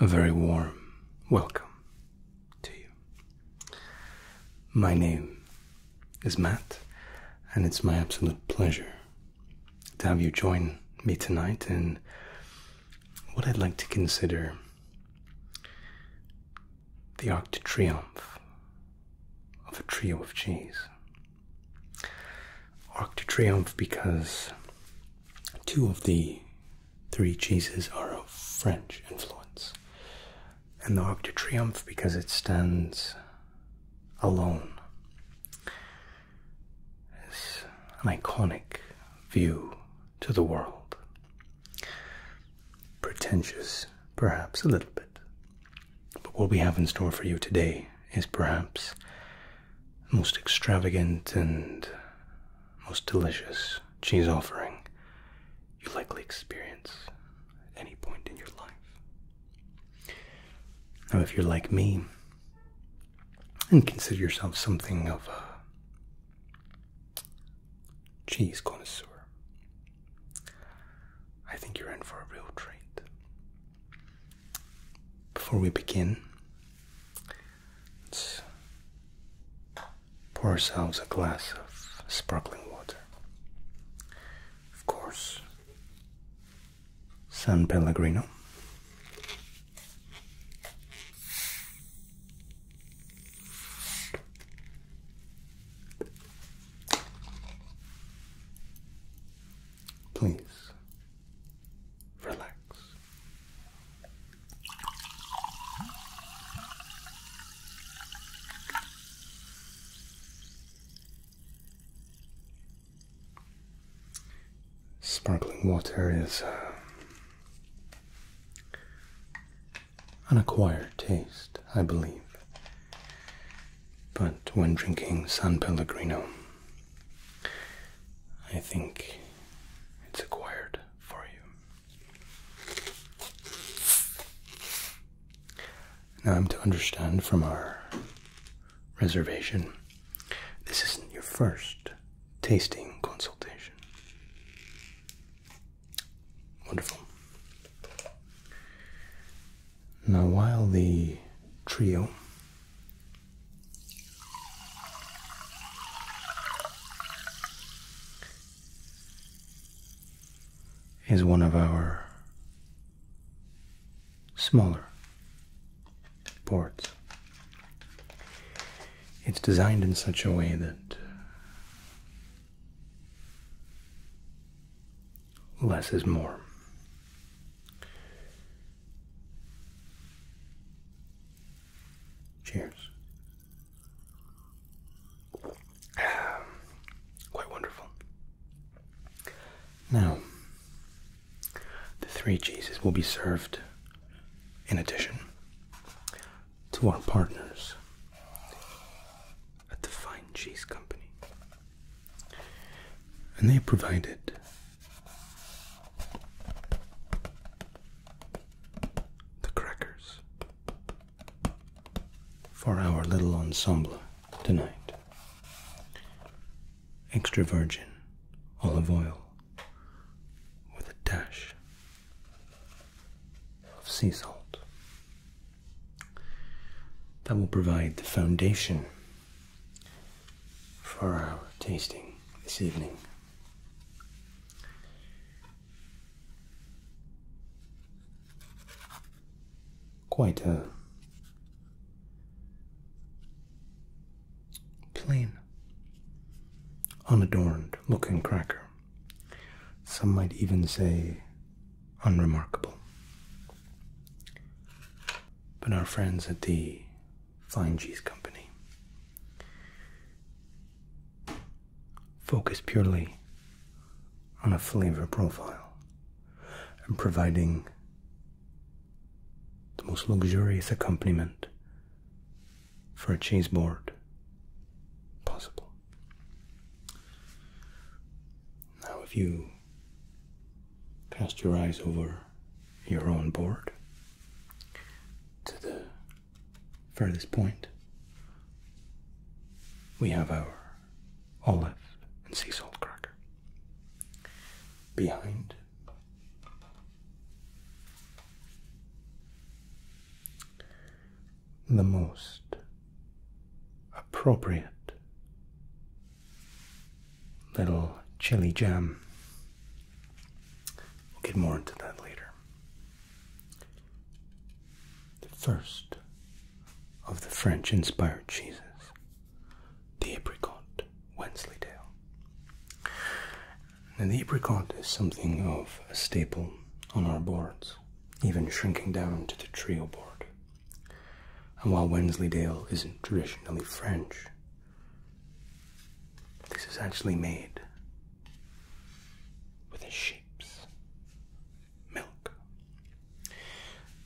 A very warm welcome to you. My name is Matt, and it's my absolute pleasure to have you join me tonight in what I'd like to consider the arc de triomphe of a trio of cheese. Arc de triomphe because two of the three cheeses are of French influence, and the Arc de Triomphe because it stands alone is an iconic view to the world. Pretentious, perhaps a little bit, but what we have in store for you today is perhaps most extravagant and most delicious cheese offering you likely experience at any point in your life. Now, if you're like me and consider yourself something of a cheese connoisseur, I think you're in for a real treat. Before we begin, Let's pour ourselves a glass of sparkling water. Of course, San Pellegrino. Please relax. Sparkling water is uh, an acquired taste, I believe. But when drinking San Pellegrino, I think it's acquired for you. Now I'm to understand from our reservation this isn't your first tasting consultation. Wonderful. Now, while the trio is one of our smaller ports. It's designed in such a way that less is more. Cheers. Um, quite wonderful. Now, the three cheeses will be served in addition to our partners at the Fine Cheese Company. And they provided the crackers for our little ensemble tonight. Extra virgin olive oil with a dash of sea salt. That will provide the foundation for our tasting this evening. Quite a plain, unadorned looking cracker. Some might even say unremarkable. But our friends at the Fine cheese company. Focus purely on a flavor profile and providing the most luxurious accompaniment for a cheese board possible. Now, if you cast your eyes over your own board to the furthest point. We have our olive and sea salt cracker. Behind the most appropriate little chili jam We'll get more into that later. The first of the French inspired cheeses, the apricot Wensleydale. And the apricot is something of a staple on our boards, even shrinking down to the trio board. And while Wensleydale isn't traditionally French, this is actually made with a sheep's milk.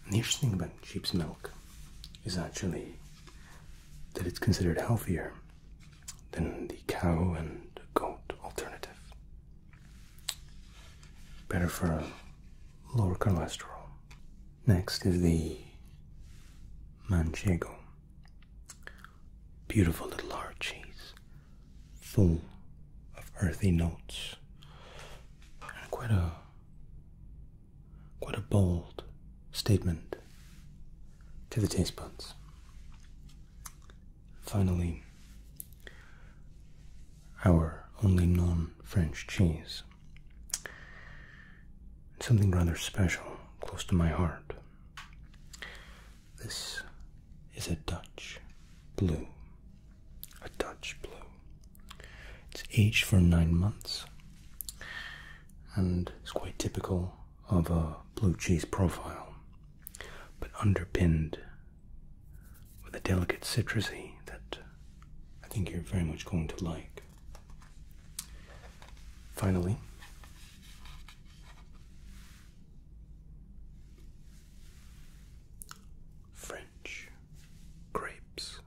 And the interesting thing about sheep's milk is actually that it's considered healthier than the cow and goat alternative. Better for lower cholesterol. Next is the manchego Beautiful little arches, full of earthy notes, quite a quite a bold statement to the taste buds. Finally, our only non-French cheese. Something rather special, close to my heart. This is a Dutch blue. A Dutch blue. It's aged for nine months and it's quite typical of a blue cheese profile, but underpinned with a delicate citrusy that I think you're very much going to like. Finally, French grapes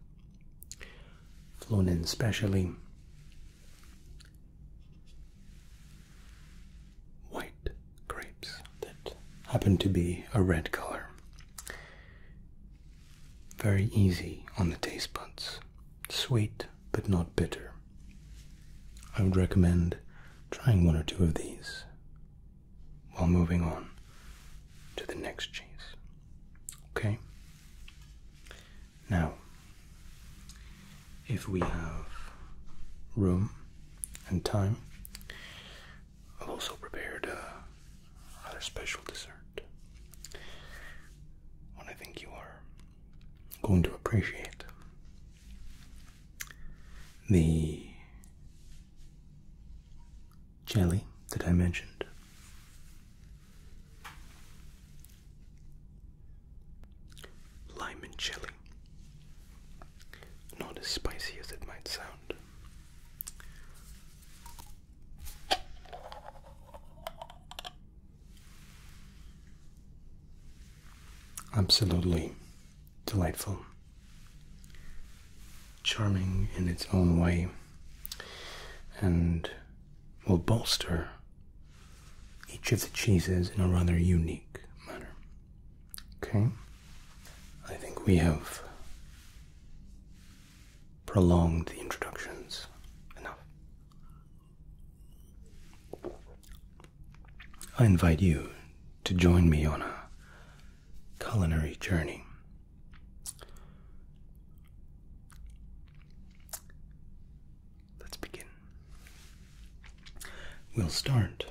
flown in specially. White grapes that happen to be a red color. Very easy on the taste buds. Sweet, but not bitter. I would recommend trying one or two of these while moving on to the next cheese. Okay? Now, if we have room and time, I've also prepared a uh, rather special dessert. When I think you are going to appreciate the jelly that I mentioned. Lime and Not as spicy as it might sound. Absolutely delightful, charming in its own way, and will bolster each of the cheeses in a rather unique manner. Okay? I think we have prolonged the introductions enough. I invite you to join me on a culinary journey. Let's begin. We'll start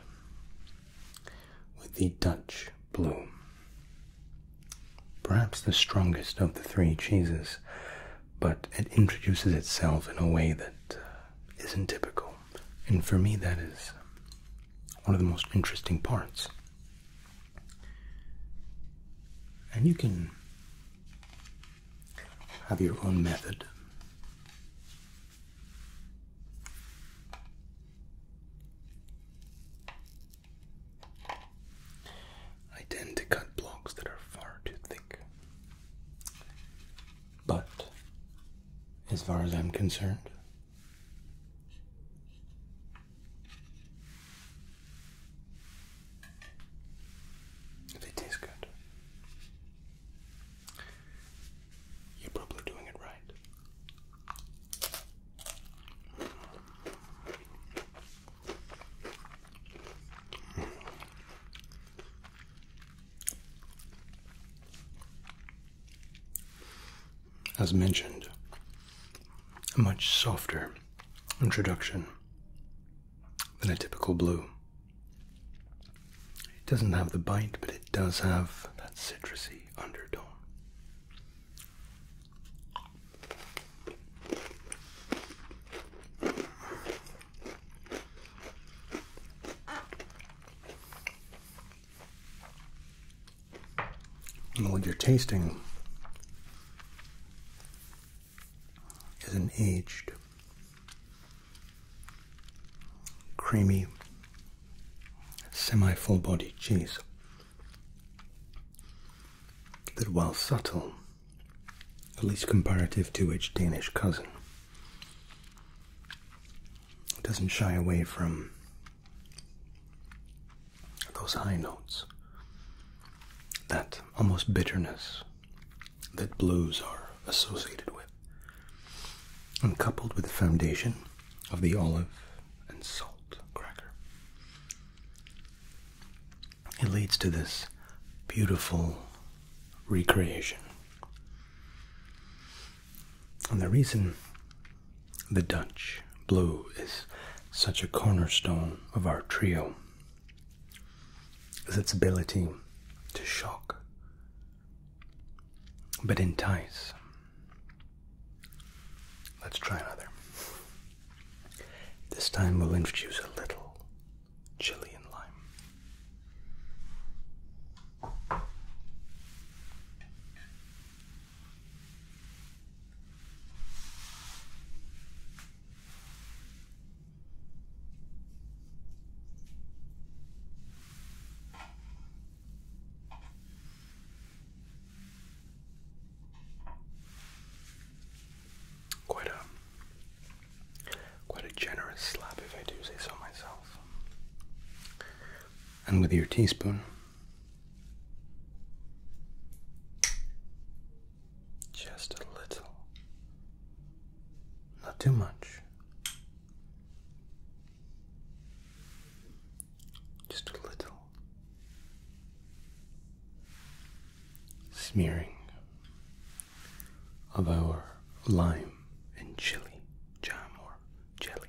with the Dutch Blue. Perhaps the strongest of the three cheeses but it introduces itself in a way that uh, not typical. And for me, that is one of the most interesting parts. And you can have your own method. I tend to cut blocks that are far too thick but, as far as I'm concerned, they taste good. You're probably doing it right. As mentioned, a much softer introduction than a typical blue. It doesn't have the bite, but it does have that citrusy undertone. And what you're tasting is an aged, creamy, semi full bodied cheese that, while subtle, at least comparative to its Danish cousin. doesn't shy away from those high notes, that almost bitterness that blues are associated with, and coupled with the foundation of the olive and salt cracker it leads to this beautiful recreation. And the reason the Dutch blue is such a cornerstone of our trio is its ability to shock but entice. Let's try another. This time we'll introduce a little chili and lime quite a quite a generous slap, if I do say so myself. And with your teaspoon, just a little, not too much, just a little smearing of our lime and chili jam or jelly.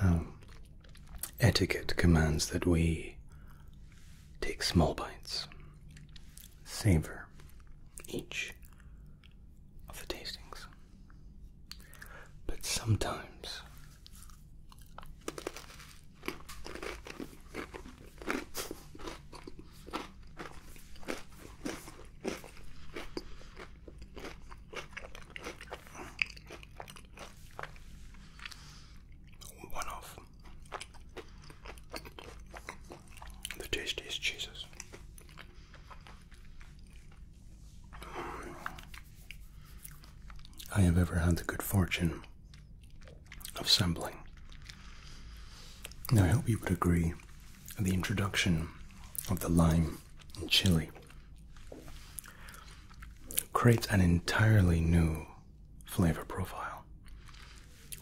Now, etiquette commands that we take small bites, savor each of the tastings. But sometimes one of the tastiest cheeses. I have ever had the good fortune of sampling. Now, I hope you would agree that the introduction of the lime and chili creates an entirely new flavor profile,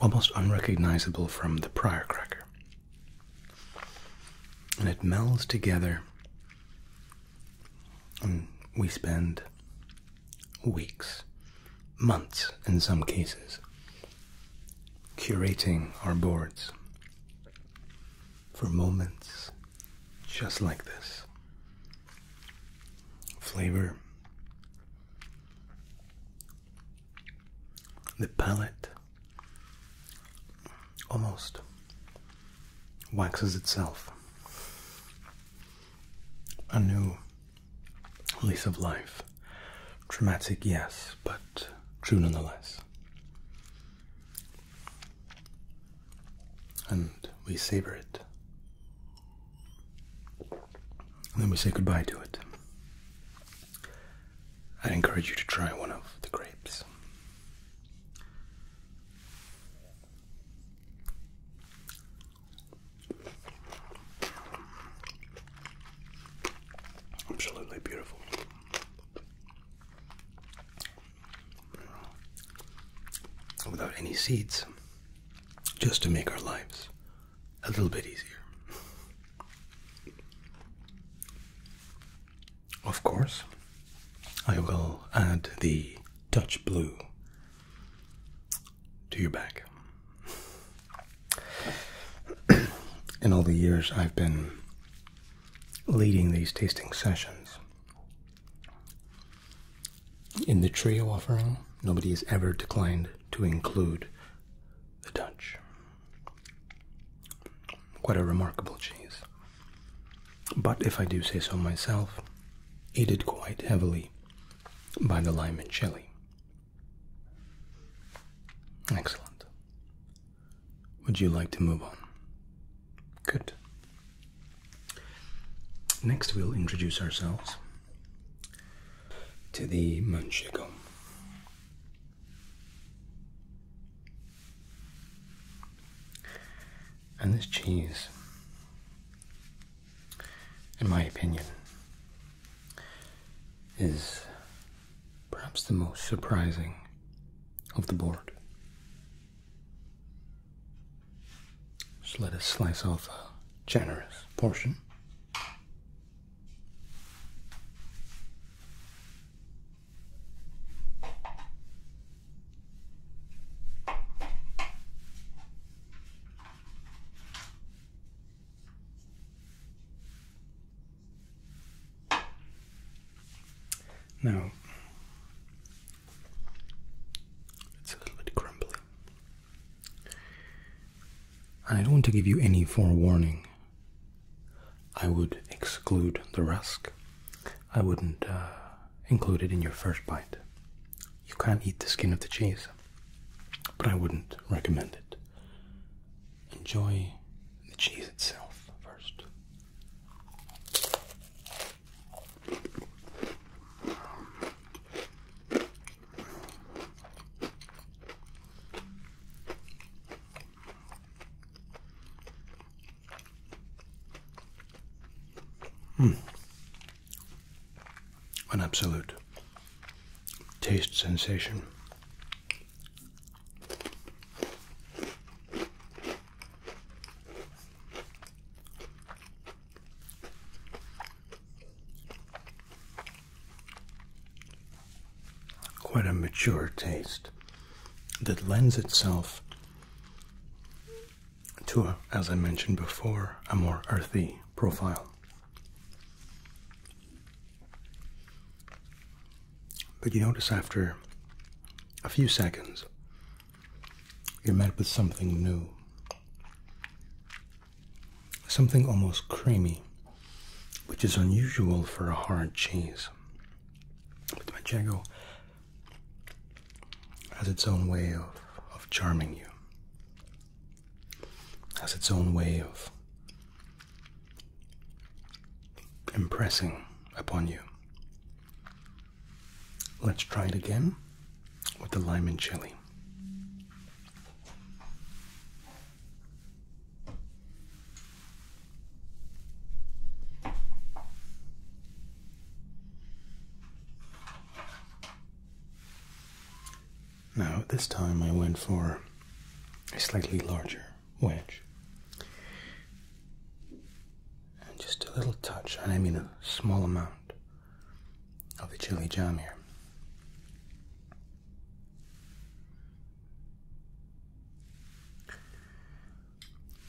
almost unrecognizable from the prior cracker. And it melds together, and we spend weeks, months in some cases, curating our boards for moments just like this. Flavor, the palate almost waxes itself. A new lease of life. Traumatic, yes, but true nonetheless. And we savor it. And then we say goodbye to it. i encourage you to try one of the grapes. Absolutely beautiful. Without any seeds, just to make our lives a little bit easier. Of course, I will add the Dutch blue to your back. In all the years I've been leading these tasting sessions, in the trio offering, nobody has ever declined to include the Dutch. Quite a remarkable cheese. But if I do say so myself, aided quite heavily by the lime and chili. Excellent. Would you like to move on? Good. Next, we'll introduce ourselves to the Manchego. And this cheese in my opinion, is perhaps the most surprising of the board. Just let us slice off a generous portion. Now it's a little bit crumbly. I don't want to give you any forewarning. I would exclude the rusk. I wouldn't uh, include it in your first bite. You can't eat the skin of the cheese but I wouldn't recommend it. Enjoy the cheese itself first. Mm an absolute taste sensation. Quite a mature taste that lends itself to, a, as I mentioned before, a more earthy profile. But you notice after a few seconds, you're met with something new. Something almost creamy, which is unusual for a hard cheese. But the Manchego has its own way of, of charming you has its own way of impressing upon you. Let's try it again with the lime and chili. Now, this time I went for a slightly larger wedge. And just a little touch, and I mean a small amount, of the chili jam here.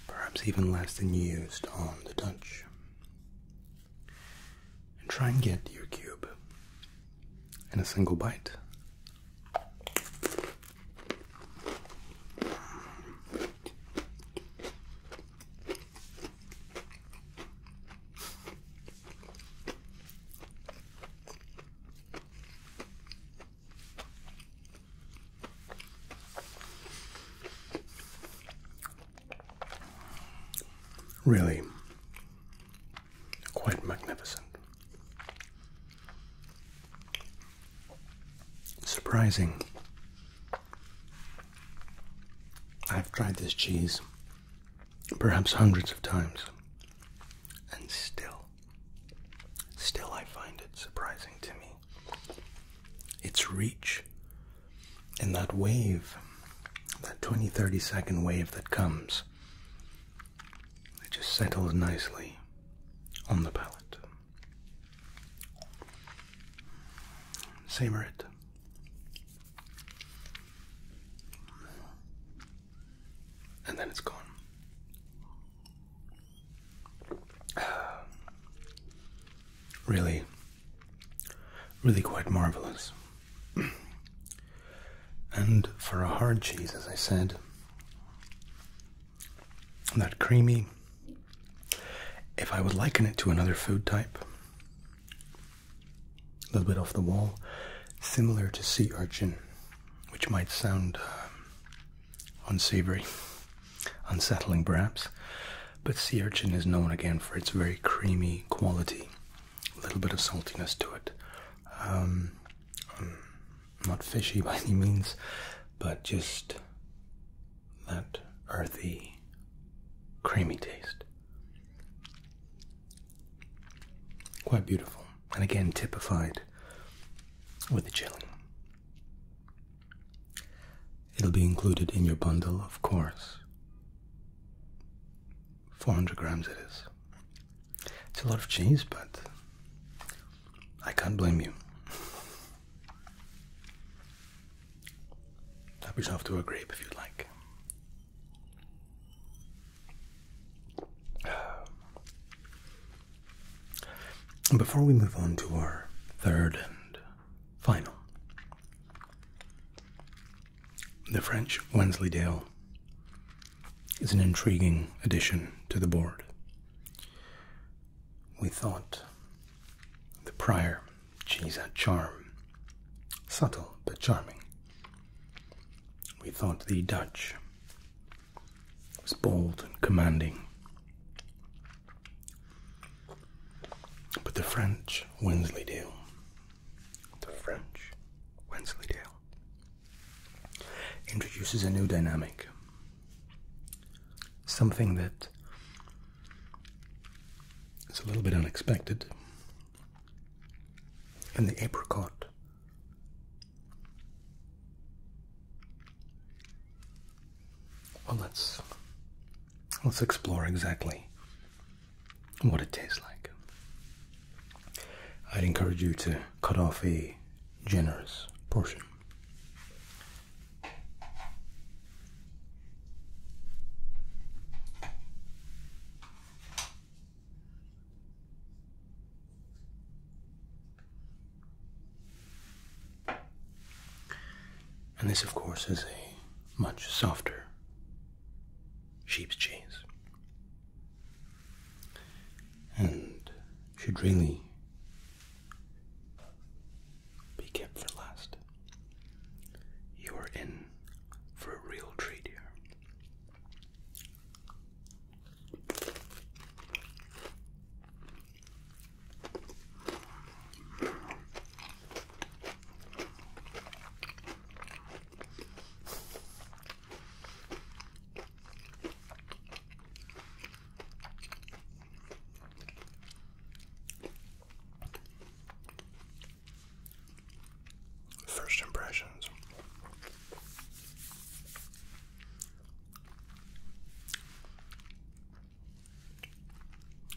Perhaps even less than used on the Dutch and try and get your cube in a single bite. Really quite magnificent. Surprising. I've tried this cheese perhaps hundreds of times, and still, still I find it surprising to me. Its reach and that wave, that 20 30 second wave that comes, it just settles nicely on the palate. Same it. And then it's gone. Really, really quite marvelous and for a hard cheese, as I said, that creamy. If I would liken it to another food type, a little bit off the wall, similar to sea urchin, which might sound uh, unsavory, unsettling perhaps, but sea urchin is known again for its very creamy quality a little bit of saltiness to it. Um, not fishy by any means, but just that earthy, creamy taste. Quite beautiful, and again typified with the chilling. It'll be included in your bundle, of course. 400 grams it is. It's a lot of cheese, but I can't blame you. Tap yourself to a grape if you'd like. Before we move on to our third and final the French Wensleydale is an intriguing addition to the board. We thought the prior, she's a charm, subtle but charming. We thought the Dutch was bold and commanding. But the French Wensleydale the French Wensleydale introduces a new dynamic, something that is a little bit unexpected. And the apricot well let's let's explore exactly what it tastes like. I'd encourage you to cut off a generous portion. And this, of course, is a much softer sheep's cheese. And should really be kept for last. You are in for a real treat here. First impressions.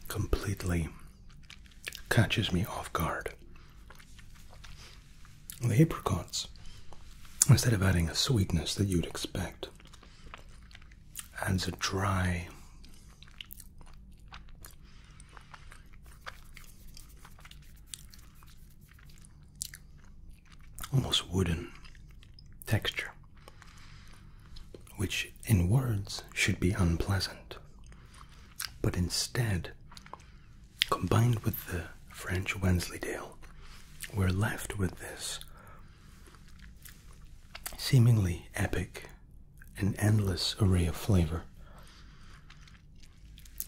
Completely catches me off guard. The apricots, instead of adding a sweetness that you'd expect, adds a dry, almost wooden texture, which in words should be unpleasant. But instead, combined with the French Wensleydale, we're left with this seemingly epic and endless array of flavor.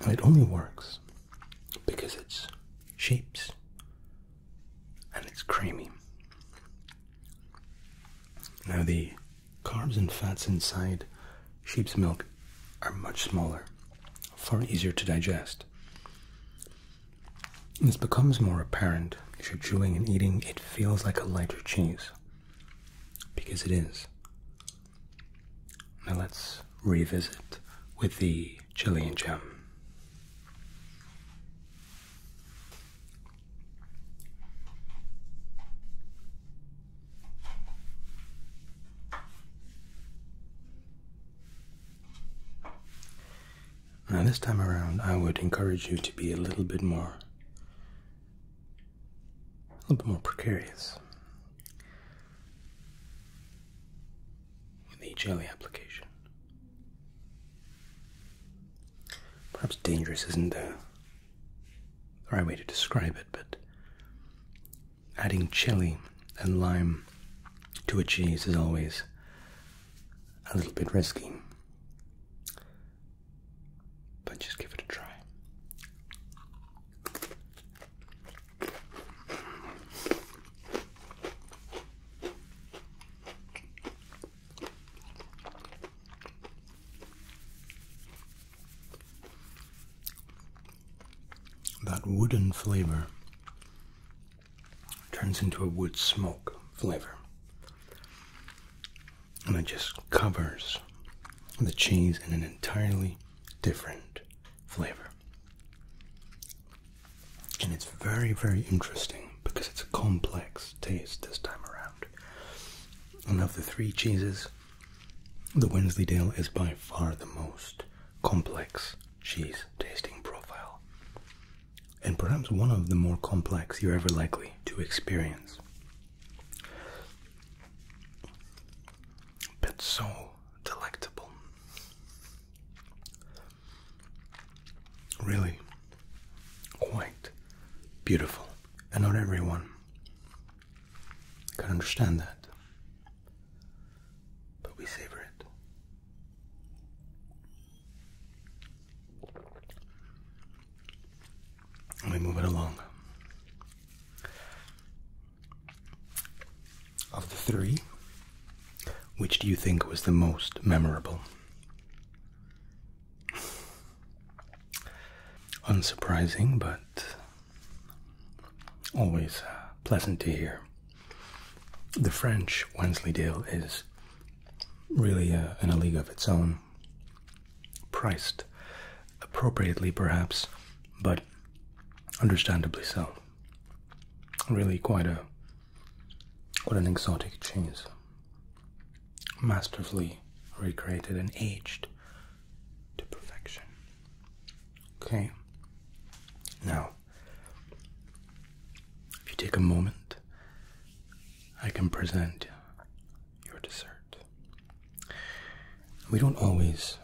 it only works because it's shapes and it's creamy. Now, the Carbs and fats inside sheep's milk are much smaller, far easier to digest. This becomes more apparent as you're chewing and eating, it feels like a lighter cheese. Because it is. Now let's revisit with the chili and jam. Now, this time around, I would encourage you to be a little bit more, a little bit more precarious with the jelly application. Perhaps dangerous isn't the the right way to describe it, but adding chili and lime to a cheese is always a little bit risky. But just give it a try. That wooden flavor turns into a wood smoke flavor. And it just covers the cheese in an entirely different flavor. And it's very, very interesting because it's a complex taste this time around. And of the three cheeses, the Wensleydale is by far the most complex cheese tasting profile, and perhaps one of the more complex you're ever likely to experience. But so delectable. Really quite beautiful, and not everyone I can understand that. But we savor it. And we move it along. Of the three, which do you think was the most memorable? Unsurprising, but Always uh, pleasant to hear. The French Wensleydale is really uh, in a league of its own, priced appropriately perhaps, but understandably so. Really quite a what an exotic cheese. Masterfully recreated and aged to perfection. Okay. Now, if you take a moment, I can present your dessert. We don't always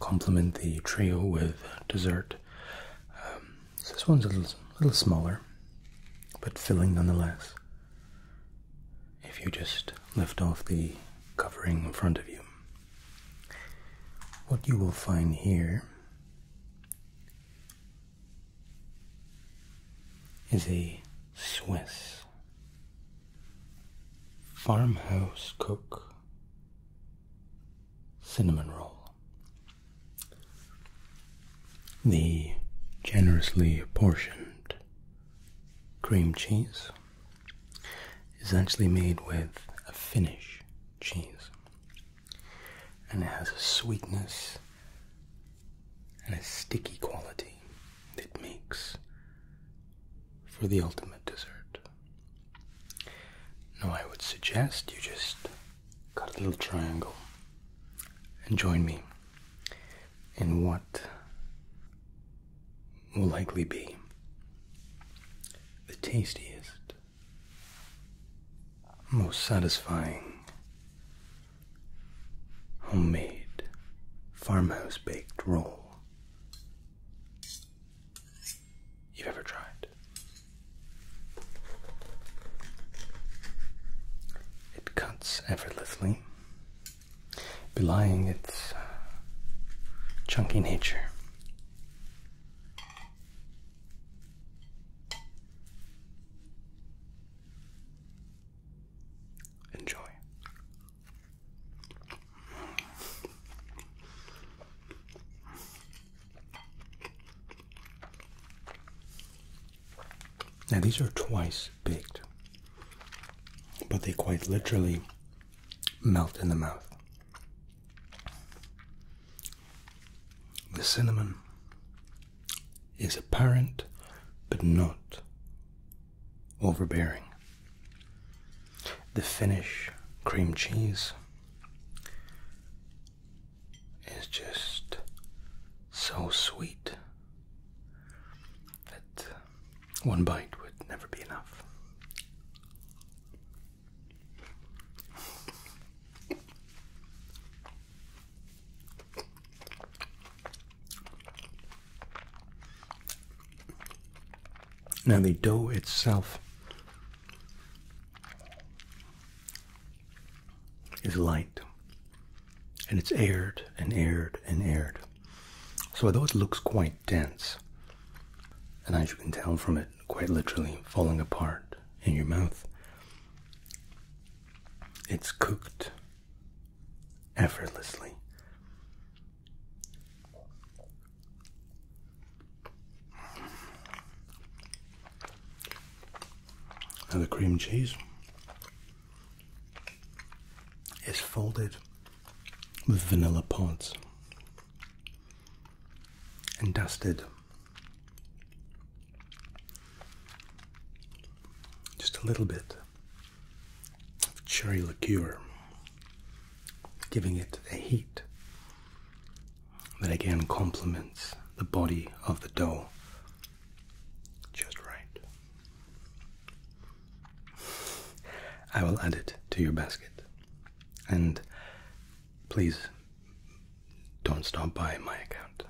complement the trio with dessert. Um, this one's a little smaller, but filling nonetheless if you just lift off the covering in front of you. What you will find here is a Swiss farmhouse cook cinnamon roll. The generously portioned cream cheese is actually made with a Finnish cheese, and it has a sweetness and a sticky quality that makes for the ultimate dessert. Now, I would suggest you just cut a little triangle and join me in what will likely be the tastiest, most satisfying homemade farmhouse baked roll you've ever tried. It cuts effortlessly belying its uh, chunky nature. Enjoy. Now, these are twice baked, but they quite literally melt in the mouth. The cinnamon is apparent but not overbearing. The finish, cream cheese is just so sweet that one bite would never be enough. Now, the dough itself is light and it's aired and aired and aired. So although it looks quite dense, and as you can tell from it quite literally falling apart in your mouth, it's cooked effortlessly. Now the cream cheese is folded with vanilla pods and dusted just a little bit of cherry liqueur, giving it the heat that again complements the body of the dough just right. I will add it to your basket. And please don't stop by my account.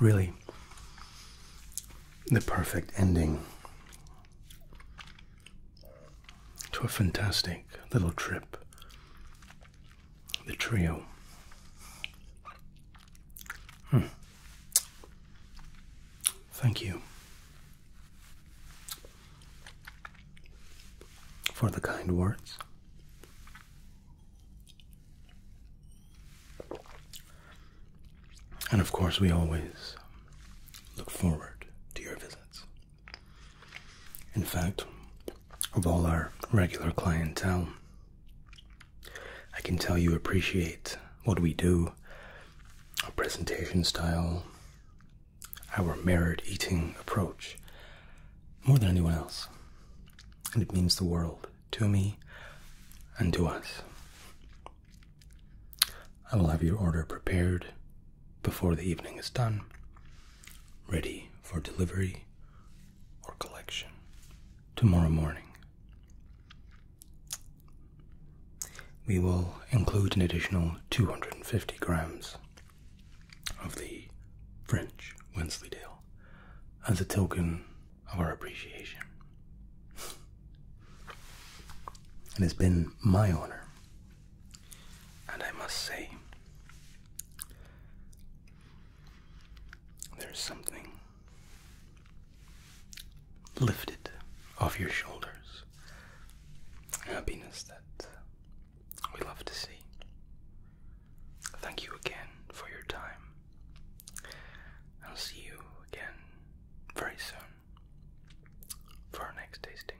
Really, the perfect ending to a fantastic little trip the trio. Hmm. Thank you for the kind words. And of course, we always look forward to your visits. In fact, of all our regular clientele. I can tell you appreciate what we do, our presentation style, our merit eating approach, more than anyone else. And it means the world to me and to us. I will have your order prepared before the evening is done, ready for delivery or collection tomorrow morning. We will include an additional 250 grams of the French Wensleydale as a token of our appreciation. It has been my honor, and I must say, there's something lifted off your shoulders. Happiness that we love to see. Thank you again for your time. I'll see you again very soon for our next tasting.